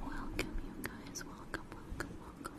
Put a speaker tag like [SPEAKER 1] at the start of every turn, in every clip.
[SPEAKER 1] Welcome, you guys. Welcome, welcome, welcome.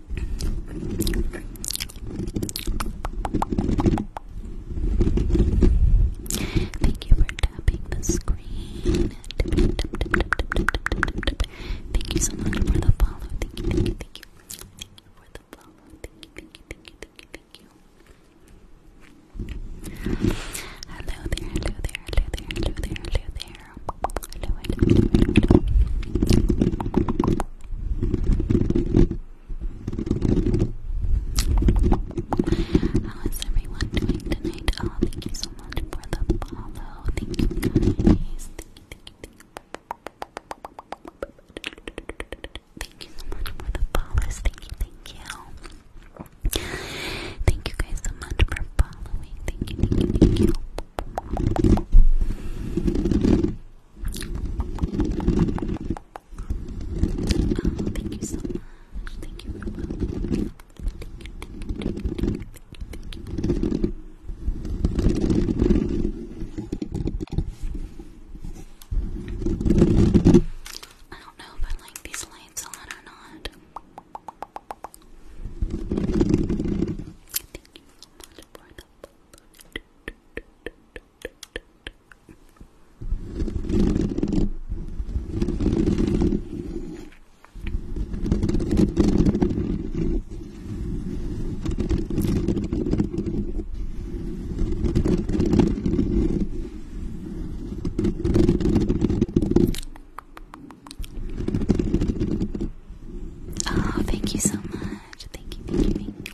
[SPEAKER 1] Thank you for tapping the screen. Thank you so much for the follow. Thank you, thank you, thank you. Thank you for the follow. Thank you, thank you, thank you, thank you, thank you. Hello there, hello there, hello there, hello there, hello there. How is everyone doing tonight? Oh, thank you so much for the follow. Thank you Thank you, thank you, thank you. Thank you so much for the follows. Thank you, thank you. Thank you guys so much for following. Thank you, thank you, thank you thank you so much. Thank you I don't know if like these lights on or not. Thank you so much for the Oh, thank you so much. Thank you,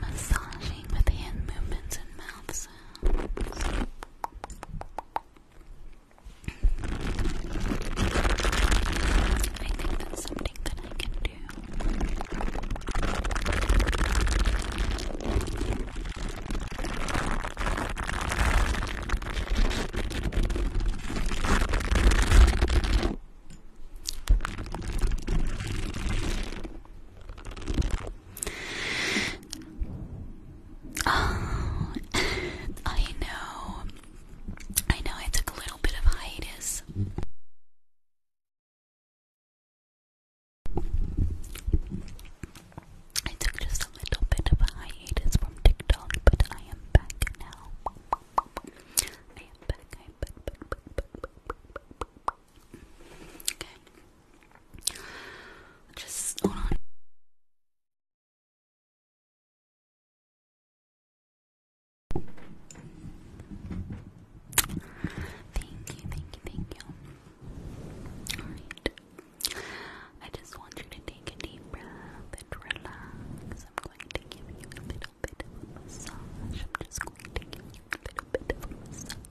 [SPEAKER 2] Massaging with hand movements and mouth sounds. I think that's something that I can do. Oh, I know. I know I took a little bit of hiatus. I took just a little bit of a hiatus from TikTok, but I am back now. I am back. Okay. Just hold on.
[SPEAKER 1] Thank you, thank you, thank you. Alright. I just want you to take a deep breath and relax. I'm going to give you a little bit of a massage. I'm just going to give you a little bit of a massage.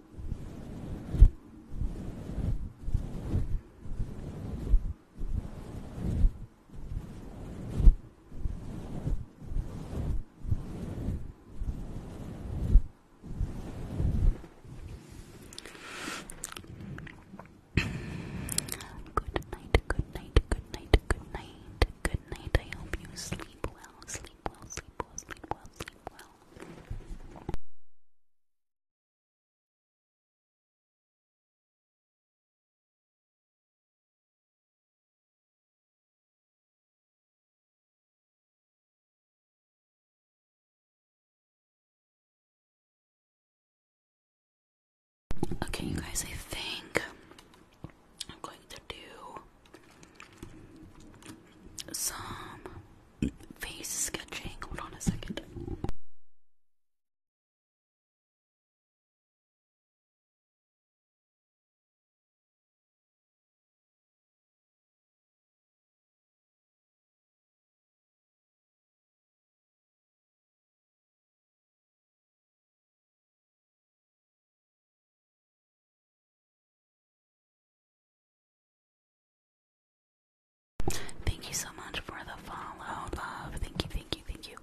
[SPEAKER 1] Good night, good night, good night, good night, good night.
[SPEAKER 2] I hope you sleep well, sleep well, sleep well, sleep well, sleep well. Okay, you guys, I think I'm going to do some face sketching. Hold on a second. Thank you so much for the follow, love. Thank you, thank you, thank you.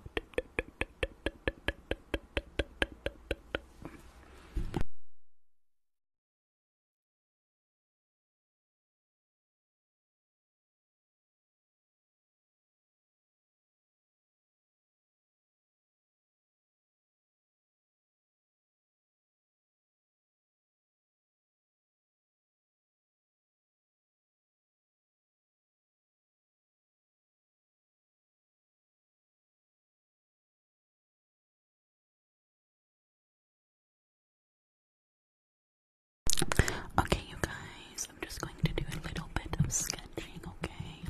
[SPEAKER 2] Okay, you guys, I'm just going to do a little bit of sketching, okay?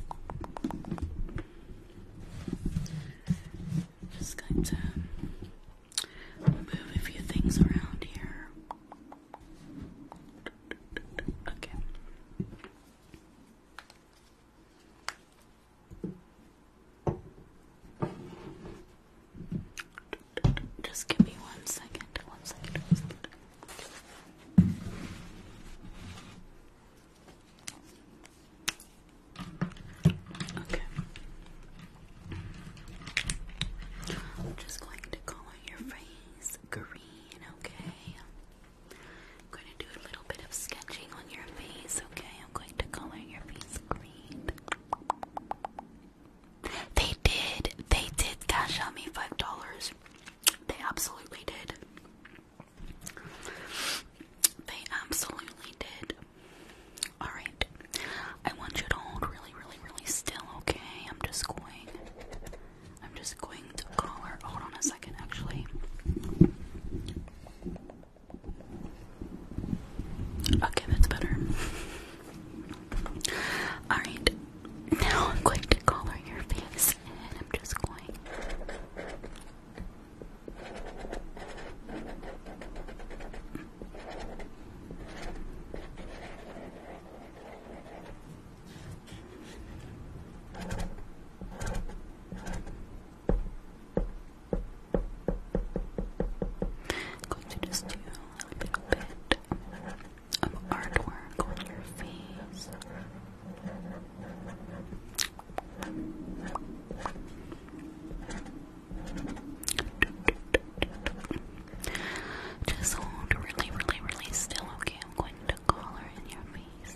[SPEAKER 3] Just going to move a few things around here. Okay.
[SPEAKER 1] Just give me one second, one second, Okay.
[SPEAKER 3] I'm just going to color your face green, okay? I'm going to do a little bit of sketching on your face, okay? I'm going to color your face green. They did. They did cash out me $5. They absolutely did. They absolutely did. Alright. I want you to hold really, really, really still, okay? I'm just going. I'm just going to call her. Hold on a second, actually. Okay, that's better. Alright. Now I'm going to color your face and I'm just going going to just do a little bit of, artwork on your face. Just hold really, really, really still, okay? I'm going to collar in your face.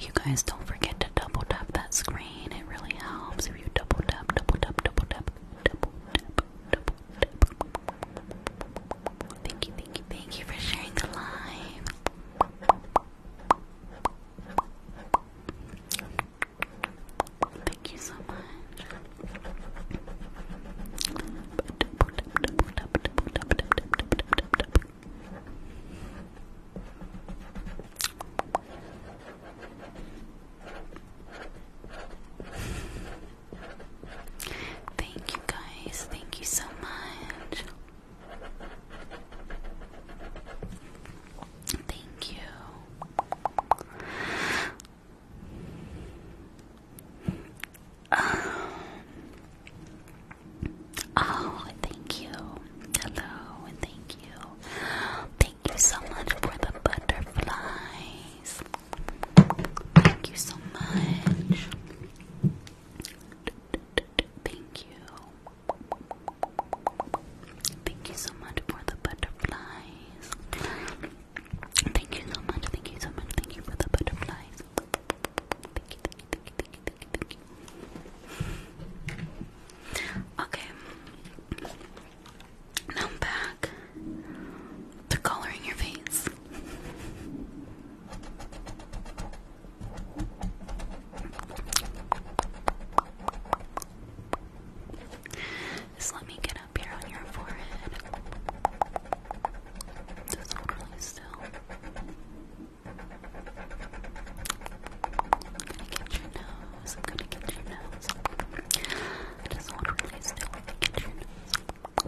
[SPEAKER 3] You guys don't forget to double tap that screen, it really helps if you double tap, double tap, double tap, double tap, double tap. Thank you, thank you, thank you for sharing the live. Thank you so much. Thank you guys, thank you so much. Thank you. Um, oh, thank you. Hello, thank you. Thank you so much for the butterflies. Thank you so much. Thank you. Thank you so much for the butterflies. Thank you so much. Thank you so much. Thank you for the butterflies. Okay. Now back to coloring your face. Just let me get up here on your forehead. Just hold really still. I'm gonna get your nose. I'm gonna get your nose. Just hold really still. I'm gonna get your nose.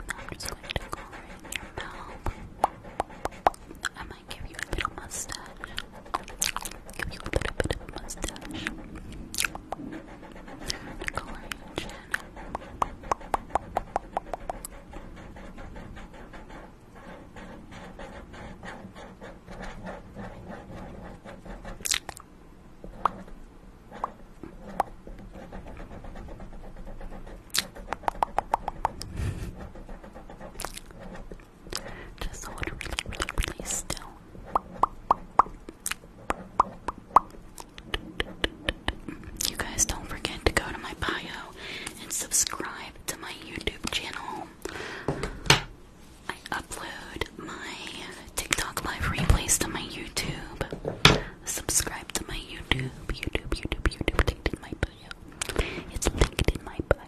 [SPEAKER 3] I'm just going to go in your mouth. I give you a little mustache. Give you a little bit of a mustache. The color just hold really, really, really still. You guys don't forget to go to my bio and subscribe to my YouTube channel. I upload my TikTok live replays to my YouTube. Subscribe to my YouTube, YouTube, YouTube, YouTube, linked in my bio. It's linked in my bio.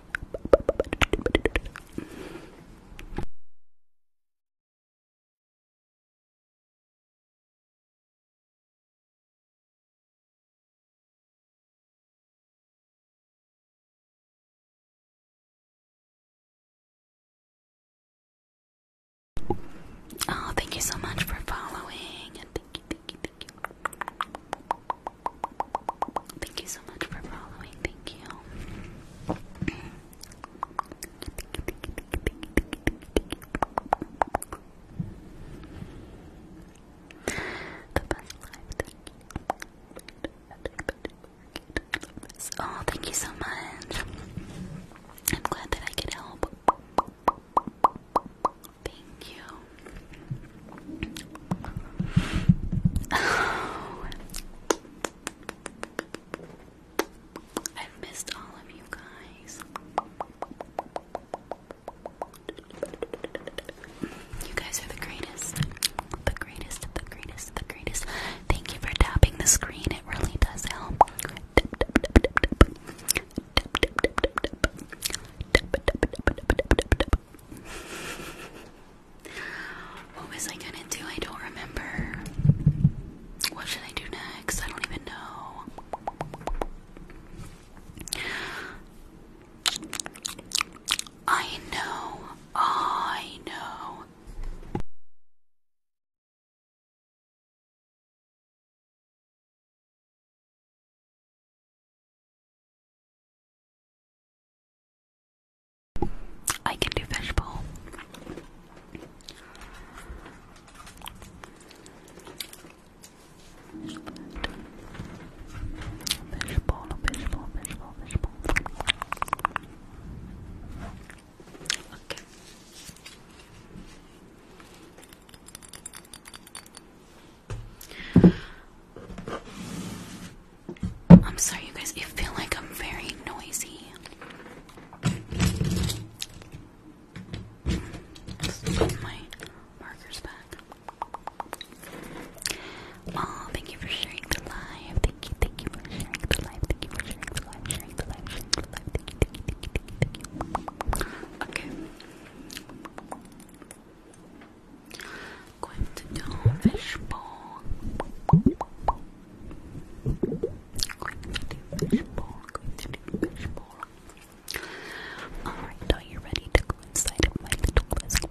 [SPEAKER 2] Oh, thank you so much for following, thank you, thank you, thank you. Thank you so much for following. Thank you.
[SPEAKER 3] Oh, thank you so much. I'm glad that I could help. Thank you. Oh. I've missed all of you guys. You guys are the greatest. The greatest, the greatest, the greatest. Thank you for tapping the screen, it really does help. What was I gonna do? I don't remember. What should I do next? I don't even know. I know. I know. I can do fishbowl. Fishbowl, fishbowl, fishbowl, fishbowl. Okay. I'm sorry, you guys. I feel like I'm very noisy. put my markers back. Oh, thank you for sharing the live. Thank you, thank you for sharing the live. Thank you for sharing the live, sharing the live, sharing the live. thank you, thank you, thank you, thank you. Okay going to do fishbowl. Going to do fishbowl. Going to do fishbowl. Alright, are you ready to go inside my little basket?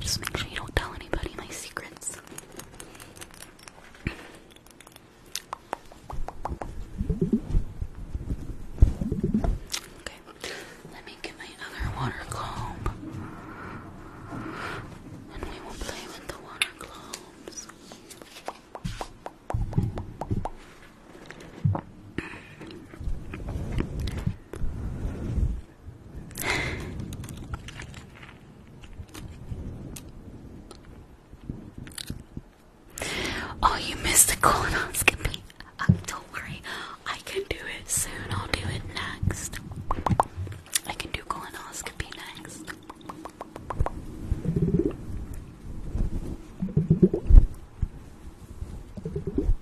[SPEAKER 3] Just make sure you don't tell anybody my secrets. Okay, let me get my other water globe. we will play with the water globes oh, you missed the colonoscopy. Uh, don't worry, I can do it soon. I'll do it next. I can do colonoscopy next.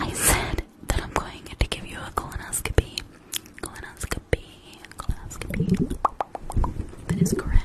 [SPEAKER 1] I said that I'm going to give you a colonoscopy. Colonoscopy. Colonoscopy. That is correct.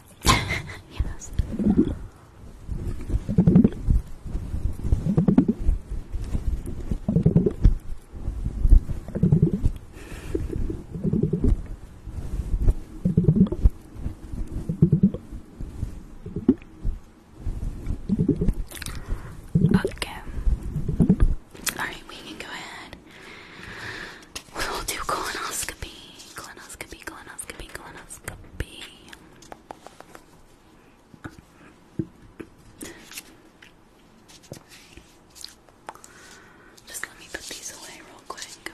[SPEAKER 2] yes. Okay. Alright, we can go ahead We'll do colonoscopy. Colonoscopy, colonoscopy, colonoscopy. Just let me put these away real quick.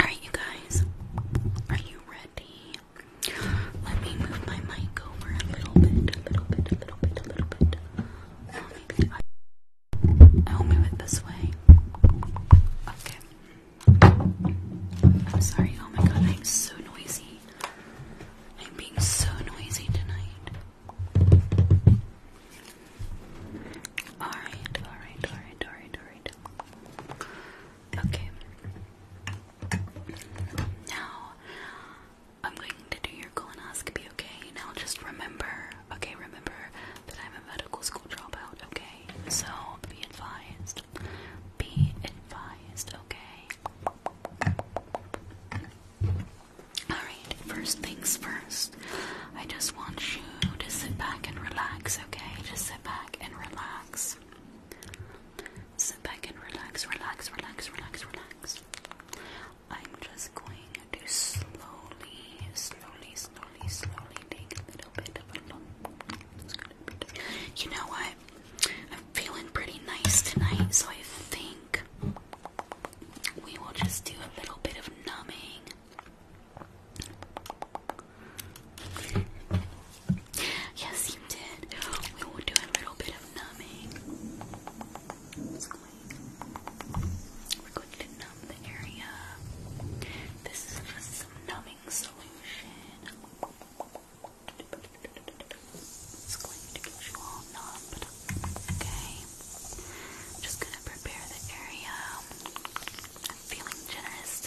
[SPEAKER 3] Alright, you guys, are you ready? Let me move my mic over a little bit, a little bit, a little bit, a little bit. I, I'll move it this way. Okay. I'm sorry. Oh my god, I'm so noisy. I'm being so noisy tonight. Alright, alright, alright, alright, alright. Okay. Now, I'm going to do your colonoscopy, okay? Now just remember, okay, remember that I'm a medical school dropout, okay? So be advised. Be advised, okay? Alright, first things first. I just want you to sit back and relax, okay? Just sit back and relax. Sit back and relax, relax, relax, relax, relax. I'm just going to slowly, slowly, slowly, slowly take a little bit of You know what? I'm feeling pretty nice tonight, so I think we will just do a little bit of numbing. Yes, we will do a little bit of numbing. We're going to numb the area. This is just numbing solution. It's going to get you all numbed. Okay. I'm just gonna prepare the area. I'm feeling generous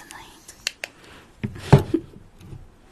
[SPEAKER 3] tonight.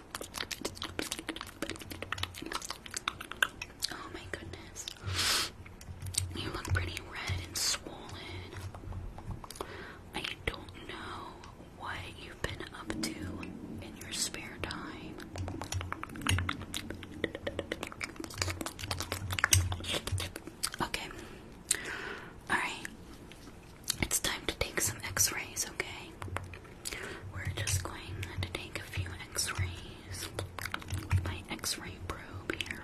[SPEAKER 3] Oh my goodness. You look pretty red and swollen. I don't know what you've been up to in your spare time. Okay. Alright. It's time to take some x rays, okay? We're just going to take a few x-rays. with My x-ray probe here.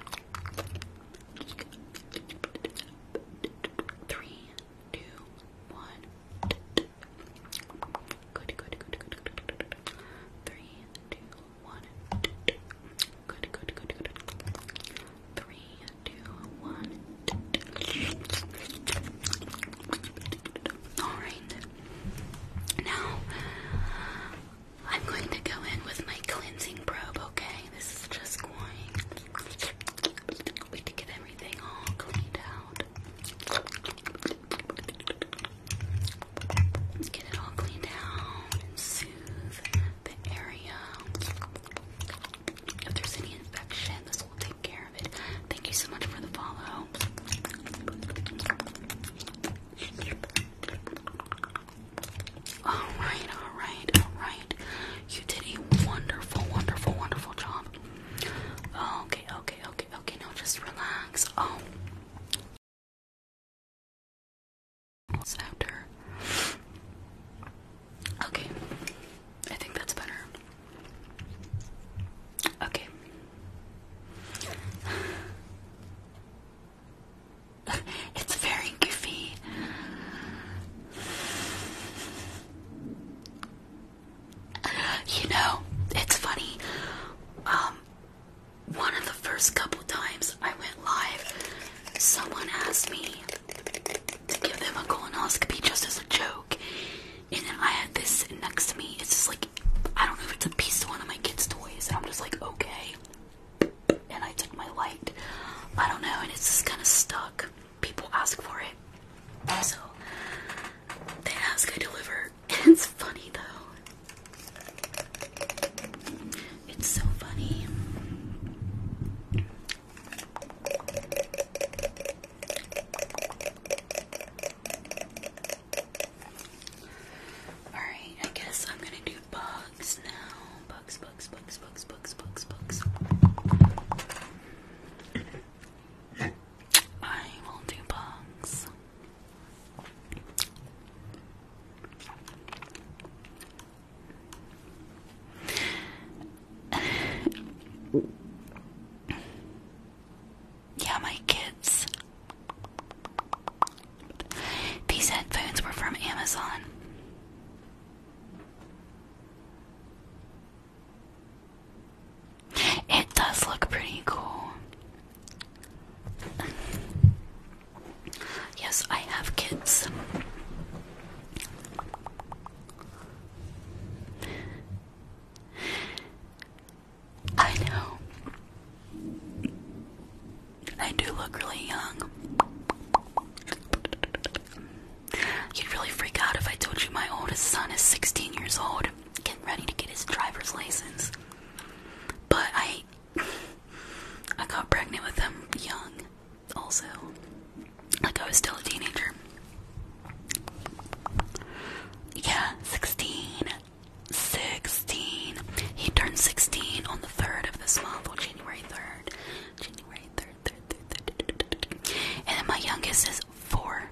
[SPEAKER 3] Three, two, one. good, good, good, good. Three, two, one. Good, good, good, good. Three, two, one. Alright. Now, I'm going to go in with my cleansing probe, okay? This is just going to get everything all cleaned out. Let's get it all cleaned out and soothe the area. If there's any infection this will take care of it. Thank you so much for the follow. Alright,
[SPEAKER 2] alright, alright. You did a wonderful, wonderful, wonderful job. Okay, okay, okay, okay. Now just relax. Oh. After. Okay. I think that's better. Okay.
[SPEAKER 3] it's very goofy. You know, it's funny. Um, one of the first couple times I went live, someone asked me to give them a colonoscopy just as a joke. And then I had this next to me. It's just like, I don't know if it's a piece of one of my kids' toys. And I'm just like, okay. And I took my light. I don't know. And it's just kind of stuck. People ask for it. So they ask, I deliver. And it's funny though. It's so funny.
[SPEAKER 1] Alright, I guess I'm gonna do bugs now. Bugs, bugs, bugs, bugs, bugs, bugs, bugs. I will do bugs.
[SPEAKER 3] Yeah, my kids. These headphones were from Amazon. It does look pretty cool. yes, I have kids. I know. I do look really young. You'd really freak out if I told you my oldest son is 16 years old, getting ready to get his driver's license. But I. I got pregnant with him young, also. Like I was still a teenager. Yeah, 16. 16. He turned 16 on the 3rd of this month, January 3rd. January 3rd, 3rd, 3rd, 3rd. And then my youngest is 4.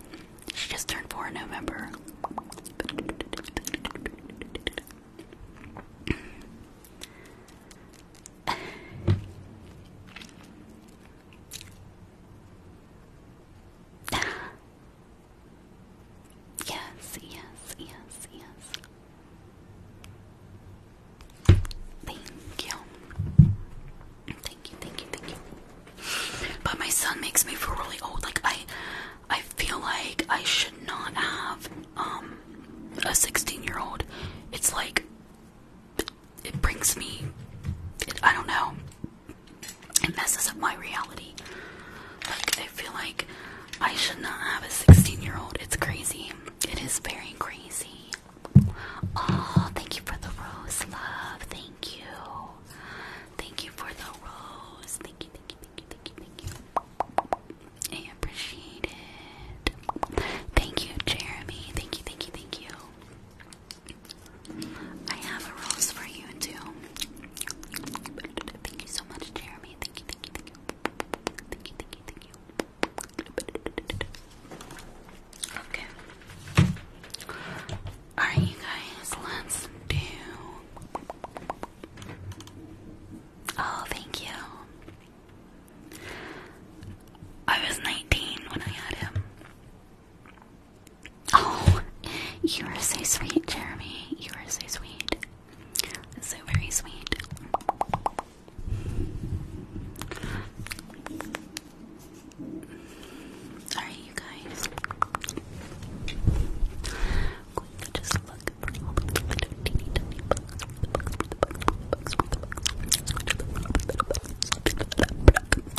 [SPEAKER 3] She just turned 4 in November. Yes, yes, yes, yes. Thank you. Thank you, thank you, thank you. But my son makes me feel really old. Like I I feel like I should not have um a 16-year-old. It's like it brings me it, I don't know it messes up my reality. Like, I feel like I should not have a 16 year old. It's crazy. It is very crazy. Oh, thank you for the rose, love. Thank you. Thank you for the rose. Thank you, thank you, thank you, thank you, thank you. I appreciate it. Thank you, Jeremy. Thank you, thank you, thank you. I have a rose for you too. Thank you so much, Jeremy. Thank you, thank you, thank you. Thank you, thank you, Okay. Alright, you guys, let's do. Oh, thank you. I was 19 when I had him. Oh, you are so sweet, Jeremy. You are so sweet. So very sweet. Alright, you guys. Sorry,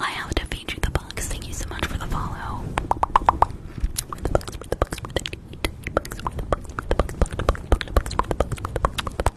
[SPEAKER 2] I have to feed you the bugs. Thank you so much for the follow.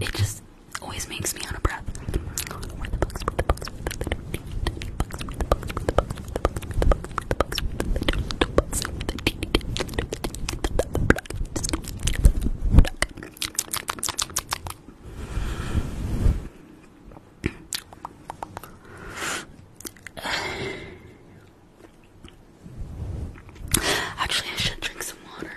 [SPEAKER 1] it just always makes me out of breath. Actually, I should drink
[SPEAKER 2] some water.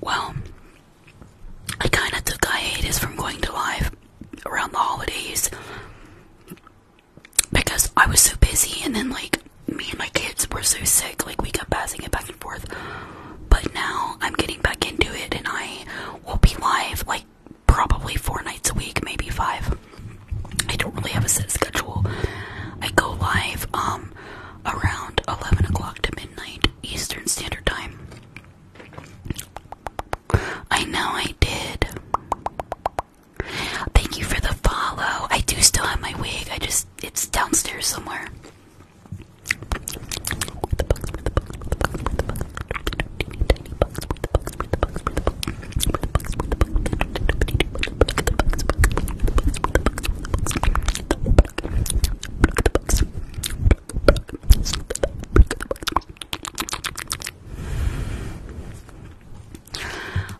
[SPEAKER 2] Well, I kinda took hiatus from going to live, around the holidays
[SPEAKER 3] because I was so busy, and then like me and my kids were so sick, like we kept passing it back and forth. But now I'm getting back into it, and I will be live like probably four nights a week, maybe five. I don't really have a set schedule. I go live um around eleven o'clock to midnight Eastern Standard Time. I know I did. Thank you for the follow. I do still have my wig. I just it's downstairs somewhere.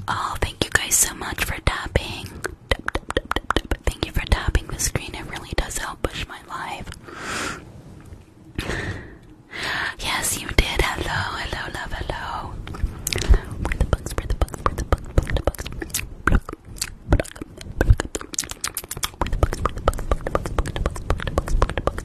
[SPEAKER 3] Oh, thank you guys so much for tapping. Thank you for tapping the screen. It really does help push my live. yes, you did. Hello, hello, love, hello. Where the bugs? Where the bugs? Where the bugs? Where the bugs? Where the bugs? Where the bugs?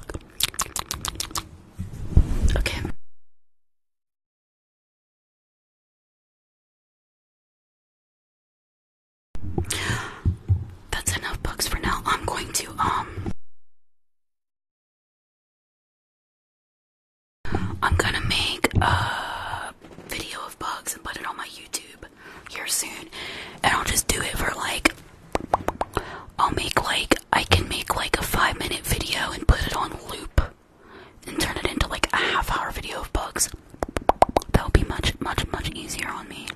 [SPEAKER 2] Okay. That's enough books for now. I'm going to um I'm gonna make a video of bugs and put
[SPEAKER 3] it on my YouTube here soon, and I'll just do it for like. I'll make like I can make like a five minute video and put it on loop, and turn it into like a half hour video of bugs. That'll be much much much easier on me.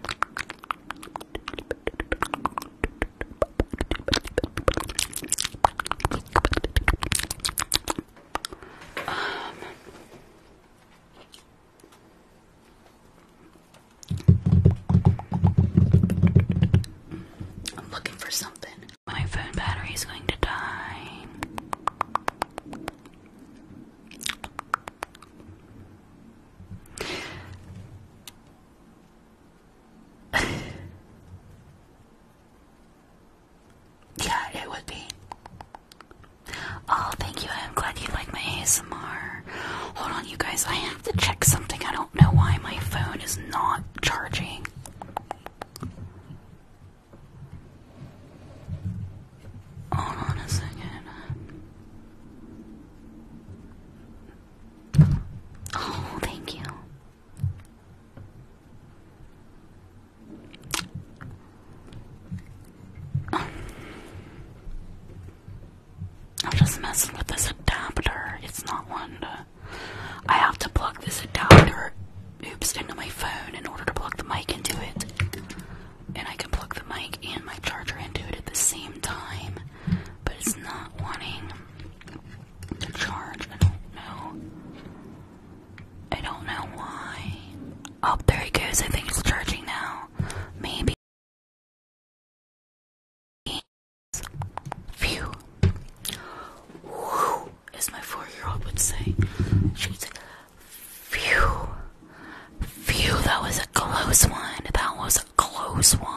[SPEAKER 3] Um, I'm looking for something. My phone battery is going to die.
[SPEAKER 2] yeah,
[SPEAKER 3] it would be. Oh, thank you. I'm glad you like my ASMR. Hold on, you guys. I have to check something. I don't know why my phone is not charging. Hold on a second. Oh, thank you.
[SPEAKER 2] I'm just messing with this adapter. It's not one to. I have to plug this adapter, oops, into my phone in order to plug the mic
[SPEAKER 3] into it. And I can plug the mic and my charger into it at the same time, but it's not wanting to charge. I don't know.
[SPEAKER 2] I don't know why. Oh, there it goes. I think it's charging now. Maybe. Phew. as my four-year-old would say.
[SPEAKER 3] She would say, phew. Phew, that was a close one. That was a close one.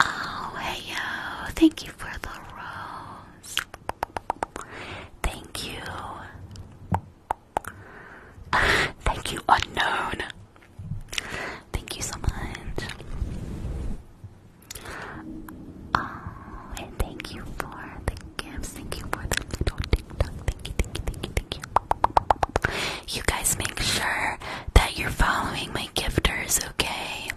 [SPEAKER 3] Oh, hey yo, thank you for the rose. Thank you. Thank you, unknown. Thank you so much. Oh, and thank you for the gifts. Thank you for the little TikTok. Thank you, thank you, thank you, thank you. You guys make sure that you're following my gifters, okay?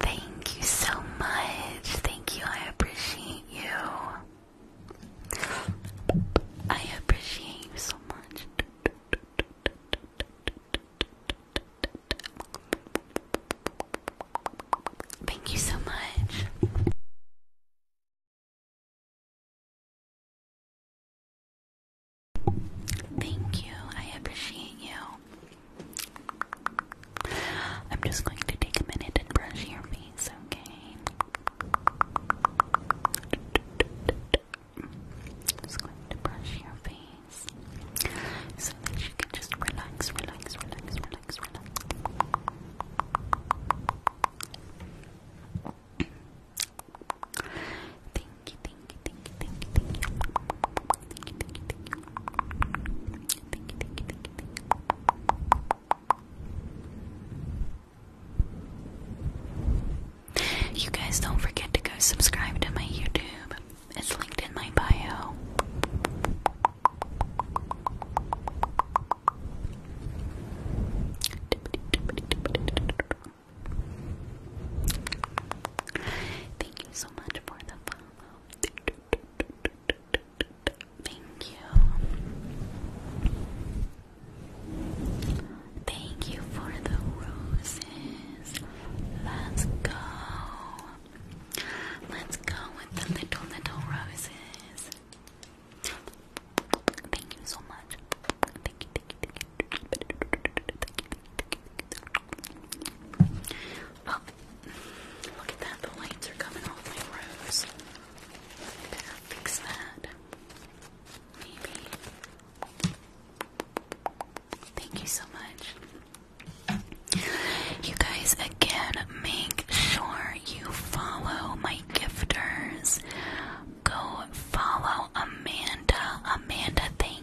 [SPEAKER 3] Thank you so much. Thank you. I appreciate you. I appreciate you so much. Thank you so much.
[SPEAKER 1] Thank you. I appreciate you. I'm just going to take a minute and brush your face, okay? Just going to brush your face so that you can just relax, relax, relax, relax, relax. Thank you, you guys
[SPEAKER 3] don't forget to go subscribe to my YouTube. It's linked in my bio. Thank you so much for the follow. Thank you. Thank you for the roses. Let's go. Let's go with the little, little roses. Thank you so much. Thank you, thank you, Oh, look at that. The lights are coming off my rose. fix that? Maybe. Thank you so much. You guys, again, make sure you follow my gifters. Go follow Amanda. Amanda, thank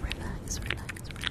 [SPEAKER 3] Relax, relax, relax. Good.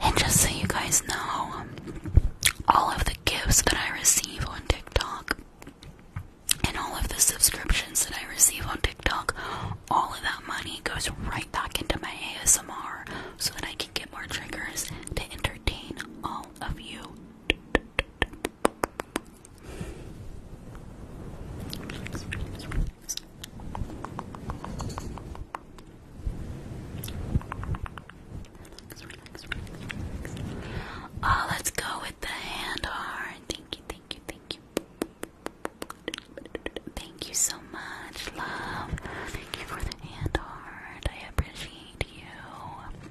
[SPEAKER 3] And just so you guys know, all of the gifts that I receive on TikTok and all of the subscriptions that I receive on TikTok, all of that money goes right back into my ASMR so that I can get more triggers to entertain all of you. Oh, let's go with the hand heart. Thank you, thank you, thank you. Thank you so much, love. Thank you for the hand heart. I appreciate you.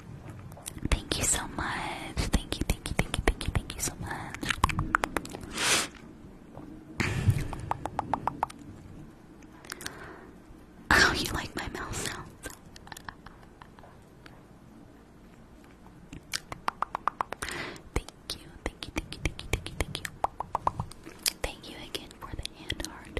[SPEAKER 3] Thank you so much. Thank you, thank you, thank you, thank you, thank you so much. oh, you like my mouth sounds? Thank you, thank you, thank you, thank you, thank you, thank you. Thank you again for the hand heart.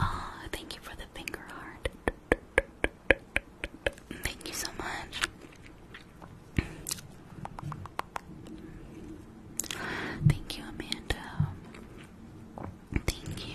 [SPEAKER 2] Oh, thank you for the finger heart. Thank you so much. Thank you, Amanda. Thank you.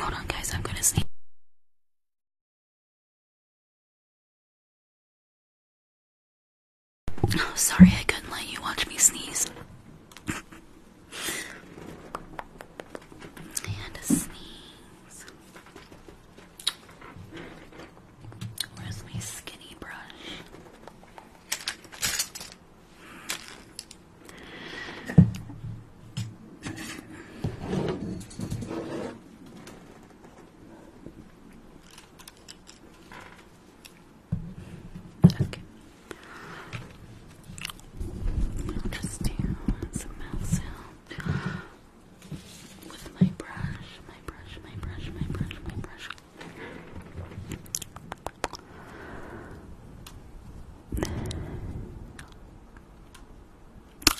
[SPEAKER 2] Hold on, guys, I'm gonna sneeze. Oh, sorry, I couldn't let you watch me sneeze. and a sneeze. Where's my skinny brush?
[SPEAKER 3] Okay. i just do some mouth sound with my brush, my brush, my brush, my brush, my brush.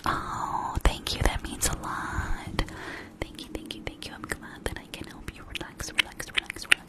[SPEAKER 3] Oh, thank you. That means a lot. Thank you, thank you, thank you. I'm glad that I can help you relax, relax, relax, relax.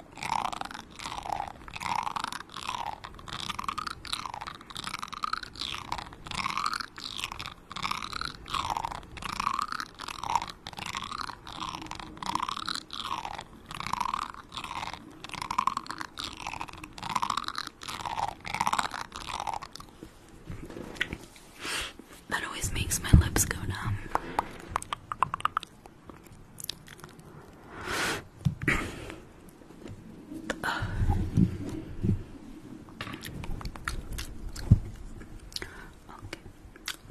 [SPEAKER 1] That always makes my lips go numb okay,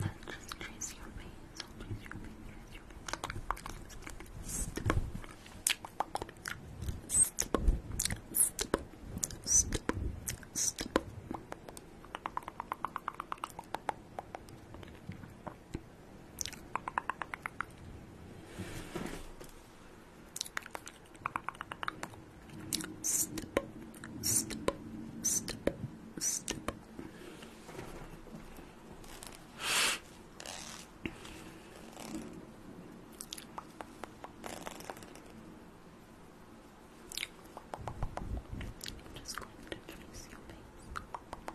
[SPEAKER 1] let's just trace your face. Trace your face, trace your face. Stipple. Stipple. Stipple. Stipple. Stipple. Step, step, step, step. just going to your face.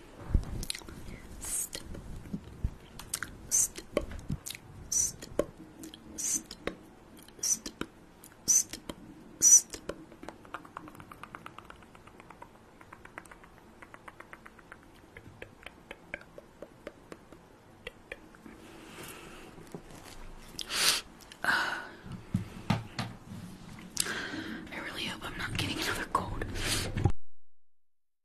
[SPEAKER 3] I really hope I'm not getting another cold.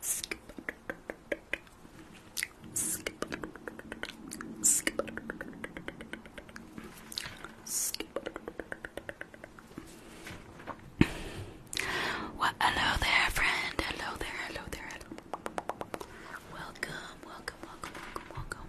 [SPEAKER 3] skip, Well, hello there, friend. Hello there, hello there, Welcome, welcome, welcome, welcome, welcome.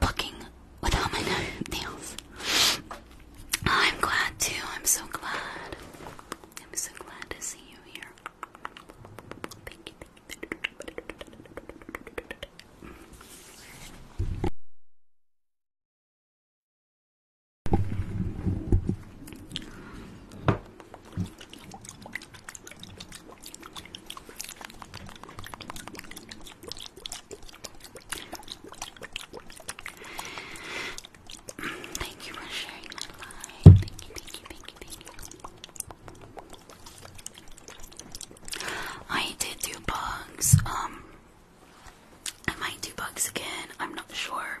[SPEAKER 3] booking without my nails. I'm glad too. I'm so glad. I'm so glad to see you here. Thank you. Thank you for sharing my life. I did do bugs. Um, I might do bugs again. I'm not sure.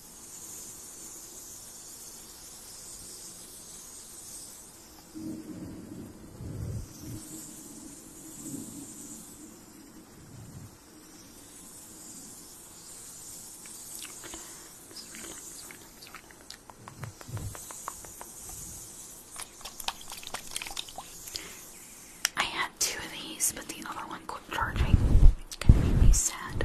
[SPEAKER 3] I had two of these, but the other one quit charging. It's gonna make me sad.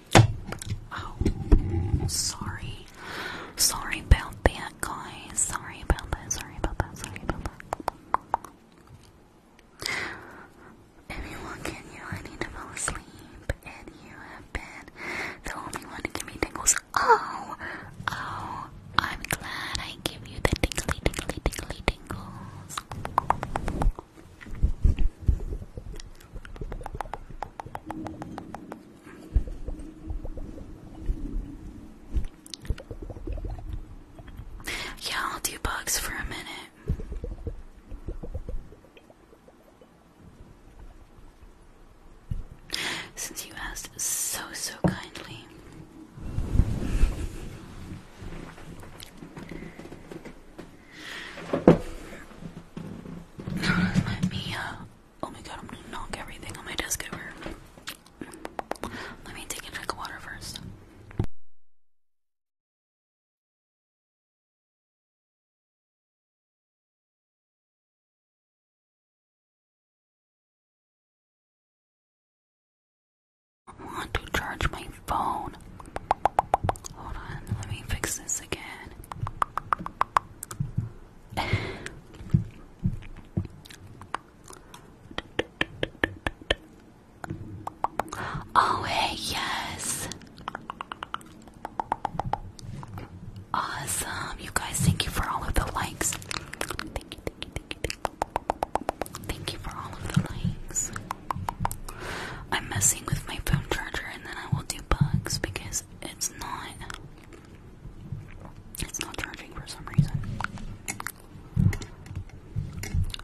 [SPEAKER 3] Oh, sorry. Sorry about that, guys. Sorry about that. Sorry about that. Sorry about that. Everyone, can you? I need to fall asleep. And you have been the only one to give me tingles. Oh! Oh! I'm glad I give you the tingly, tingly, tingly tingles. Yeah, I'll do bugs for a minute. Since you asked so, so kindly.
[SPEAKER 2] Let me uh, Oh my god, I'm gonna knock everything on my desk over. Let me take a drink of water first. I want to charge my phone. Hold on, let me fix this again.
[SPEAKER 3] Oh, hey, yes. Awesome. You guys, thank you for all of the likes. Thank you, thank you, thank you, thank you. for all of the likes. I'm messing with my phone charger and then I will do bugs because it's not it's not charging for some reason.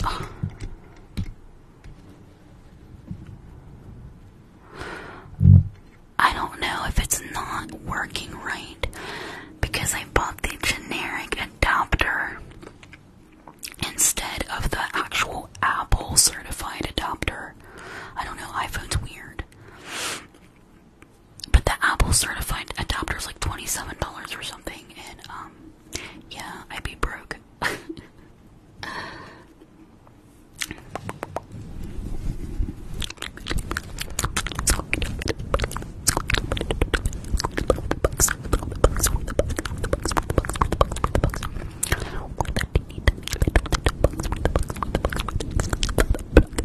[SPEAKER 3] I don't know if it's not working right because I bought the generic adapter instead of the actual Apple certified adapter. I don't know, iPhone's weird. But the Apple certified adapter is like $27 or something, and um, yeah, I'd be broke. need to make little, little bugs, little bugs, little bugs, little bugs.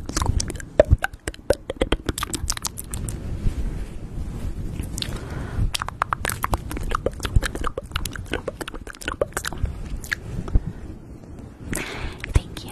[SPEAKER 3] Thank you.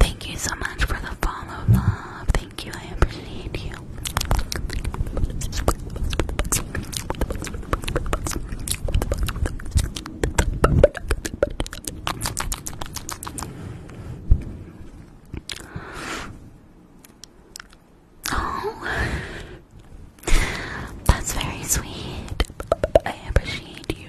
[SPEAKER 3] Thank you so much for the follow, love. Thank you, I appreciate you. Oh, that's very sweet. I appreciate you.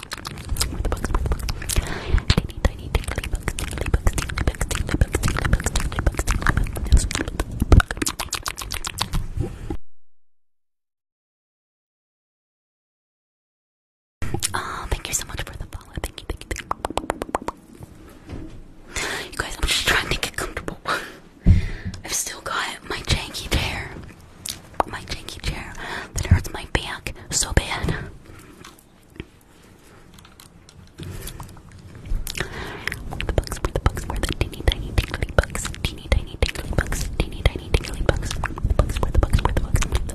[SPEAKER 3] Oh, thank you so much for the follow. Thank you, thank you, thank you. You guys, I'm just trying to get comfortable. I've still got my janky chair. My janky chair that hurts my back so bad. Where the bugs, where the bugs, where the teeny tiny tingly bugs, teeny tiny tingly bugs, teeny tiny tingly bugs, where the bugs, where the bugs, where the bugs, where the bugs.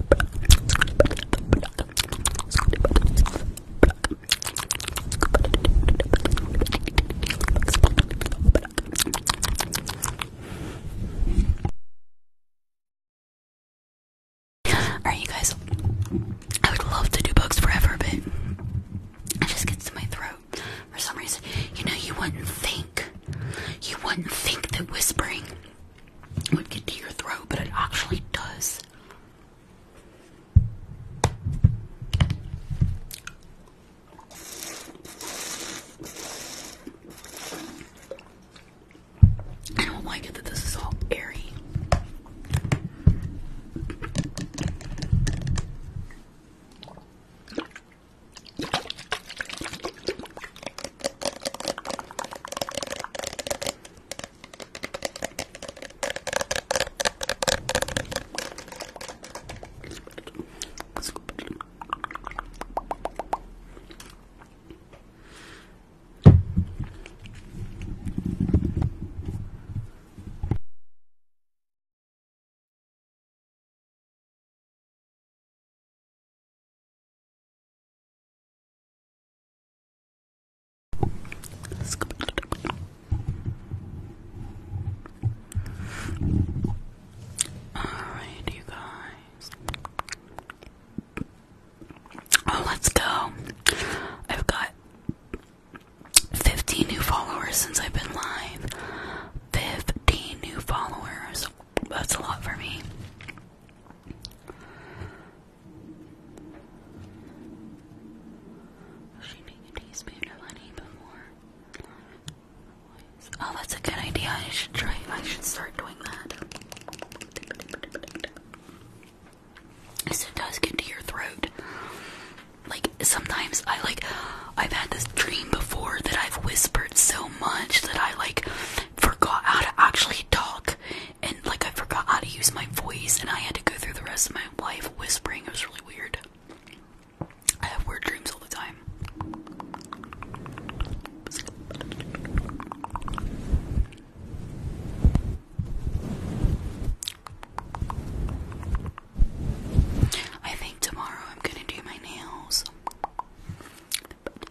[SPEAKER 2] Alright, you guys, I would love to do bugs forever, but it
[SPEAKER 3] just gets to my throat for some reason. You know, you wouldn't think, you wouldn't think that whispering would get to your throat, but it actually does. I don't like it that this is all airy. All right, you guys. Oh, let's go. I've got 15 new followers since I've been live. 15 new followers. That's a lot for me. Oh, that's a good idea. I should try. I should start doing that. Because it does get to your throat. Like sometimes I like I've had this dream before that I've whispered so much that I like forgot how to actually talk and like I forgot how to use my voice and I had to go through the rest of my life whispering. It was really weird. I have weird dreams all the time. I think tomorrow I'm gonna do my nails.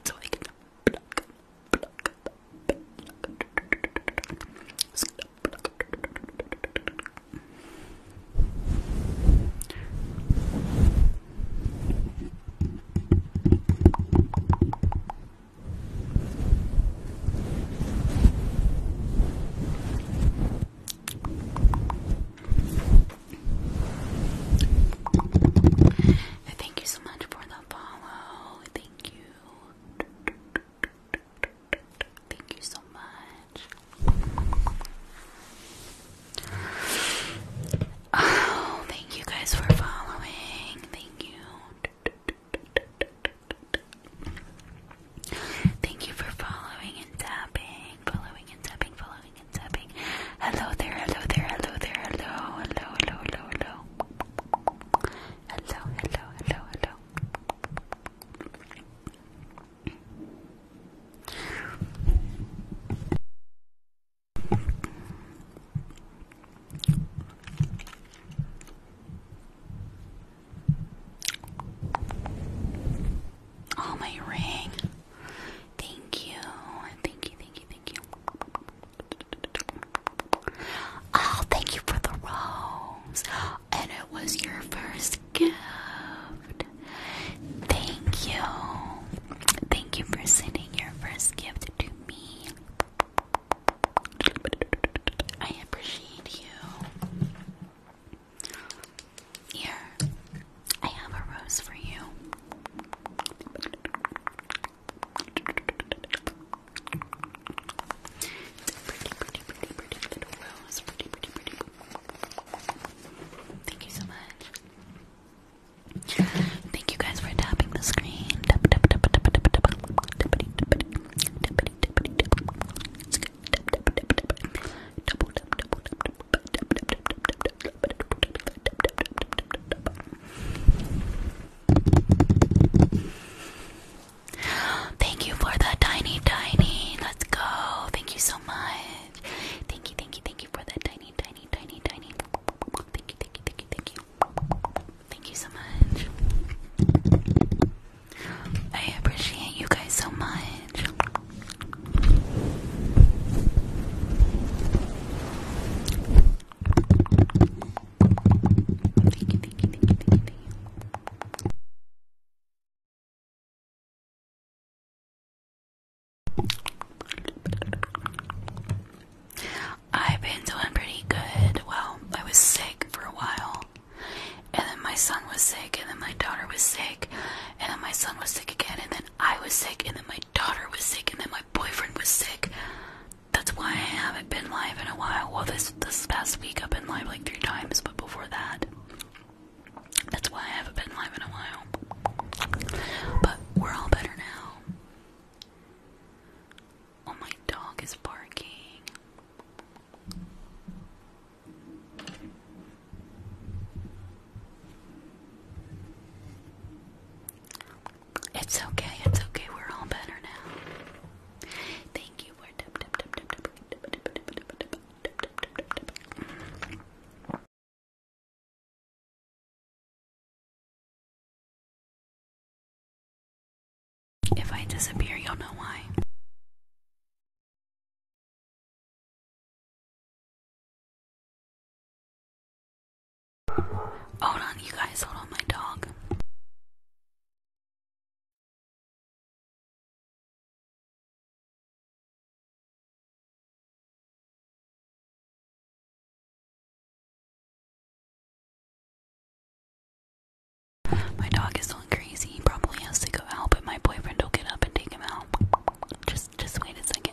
[SPEAKER 3] So I can Thank you so much for the follow. Thank you. Thank you so much. Oh, thank you guys for following. Thank you. Thank you for following and tapping. Following and tapping, following and tapping. Hello there, hello there, hello there, hello, hello, hello, hello, hello. Hello, hello, Oh, my ring. Thank you. Thank you, thank you, thank you. Oh, thank you for the rose. And it was your first gift. Thank you. Thank you for sending your first gift to me. I appreciate you. Here, I have a rose for you. It's a pretty, pretty, pretty, pretty little rose. Thank you so much. Thank you guys for tapping the screen. Thank you for the tiny, tiny. Let's go. Thank you so much. Thank you, thank you, thank you for the tiny, tiny, tiny, tiny. Thank you, thank you, thank you, thank you. Thank you so much. I appreciate you guys so much. I've been doing pretty good. Well, I was sick for a while, and then my son was sick, and then my daughter was sick, and then my son was sick again, and then I was sick, and then my daughter was sick, and then my boyfriend was sick. That's why I haven't been live in a while. Well, this this past week I've been live like three times, but before that, that's why I haven't been live in a while. But we're all better now. Oh, my dog is barking. It's okay, it's okay, we're all better now.
[SPEAKER 2] Thank you if I disappear, you'll know why. Hold on, you guys, hold on, my dog. My dog is going crazy. He probably has to go out, but my boyfriend will get up and take him out. Just just wait a second.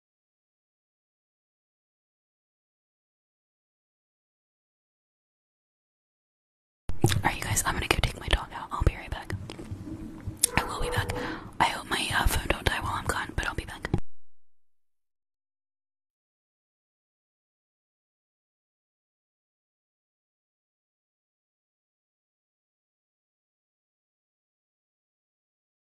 [SPEAKER 2] Alright, you guys, I'm gonna go take my dog out. I'll be right back. I will be back. I hope my uh, phone don't die while I'm gone, but I'll be back.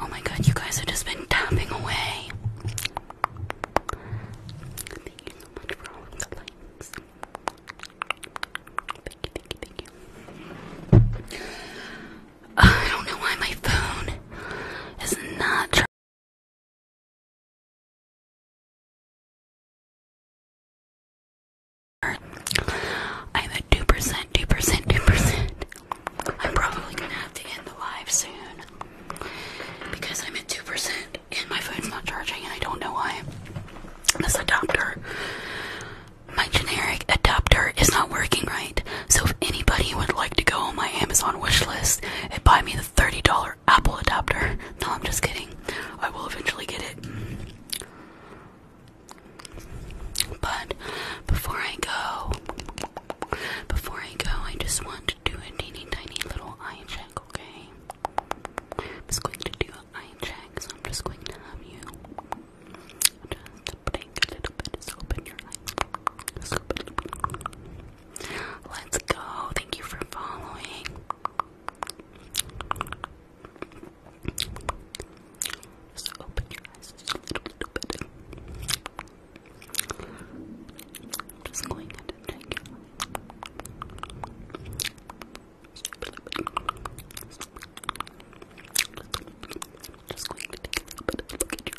[SPEAKER 1] Oh my god, you guys have just been tapping away. Thank you so much for all the likes. Thank you, thank you, thank you. I don't know why my phone is not I'm at 2%, 2%, 2%. I'm probably gonna have to end the live soon
[SPEAKER 3] because I'm at 2% and my phone's not charging and I don't know why. This adapter, my generic adapter, is not working right. So if anybody would like to go on my Amazon wish list and buy me the. $30 Apple adapter. No, I'm just kidding. I will eventually get it. But before I go, before I go, I just want to do a teeny tiny little eye check, okay? I'm just going to do an eye check, so I'm just going to have you just blink a little bit, just open your eyes. Let's go. Thank you for following. Just open your eyes a little, bit. just going to take it. Just going to take a little bit of a look at your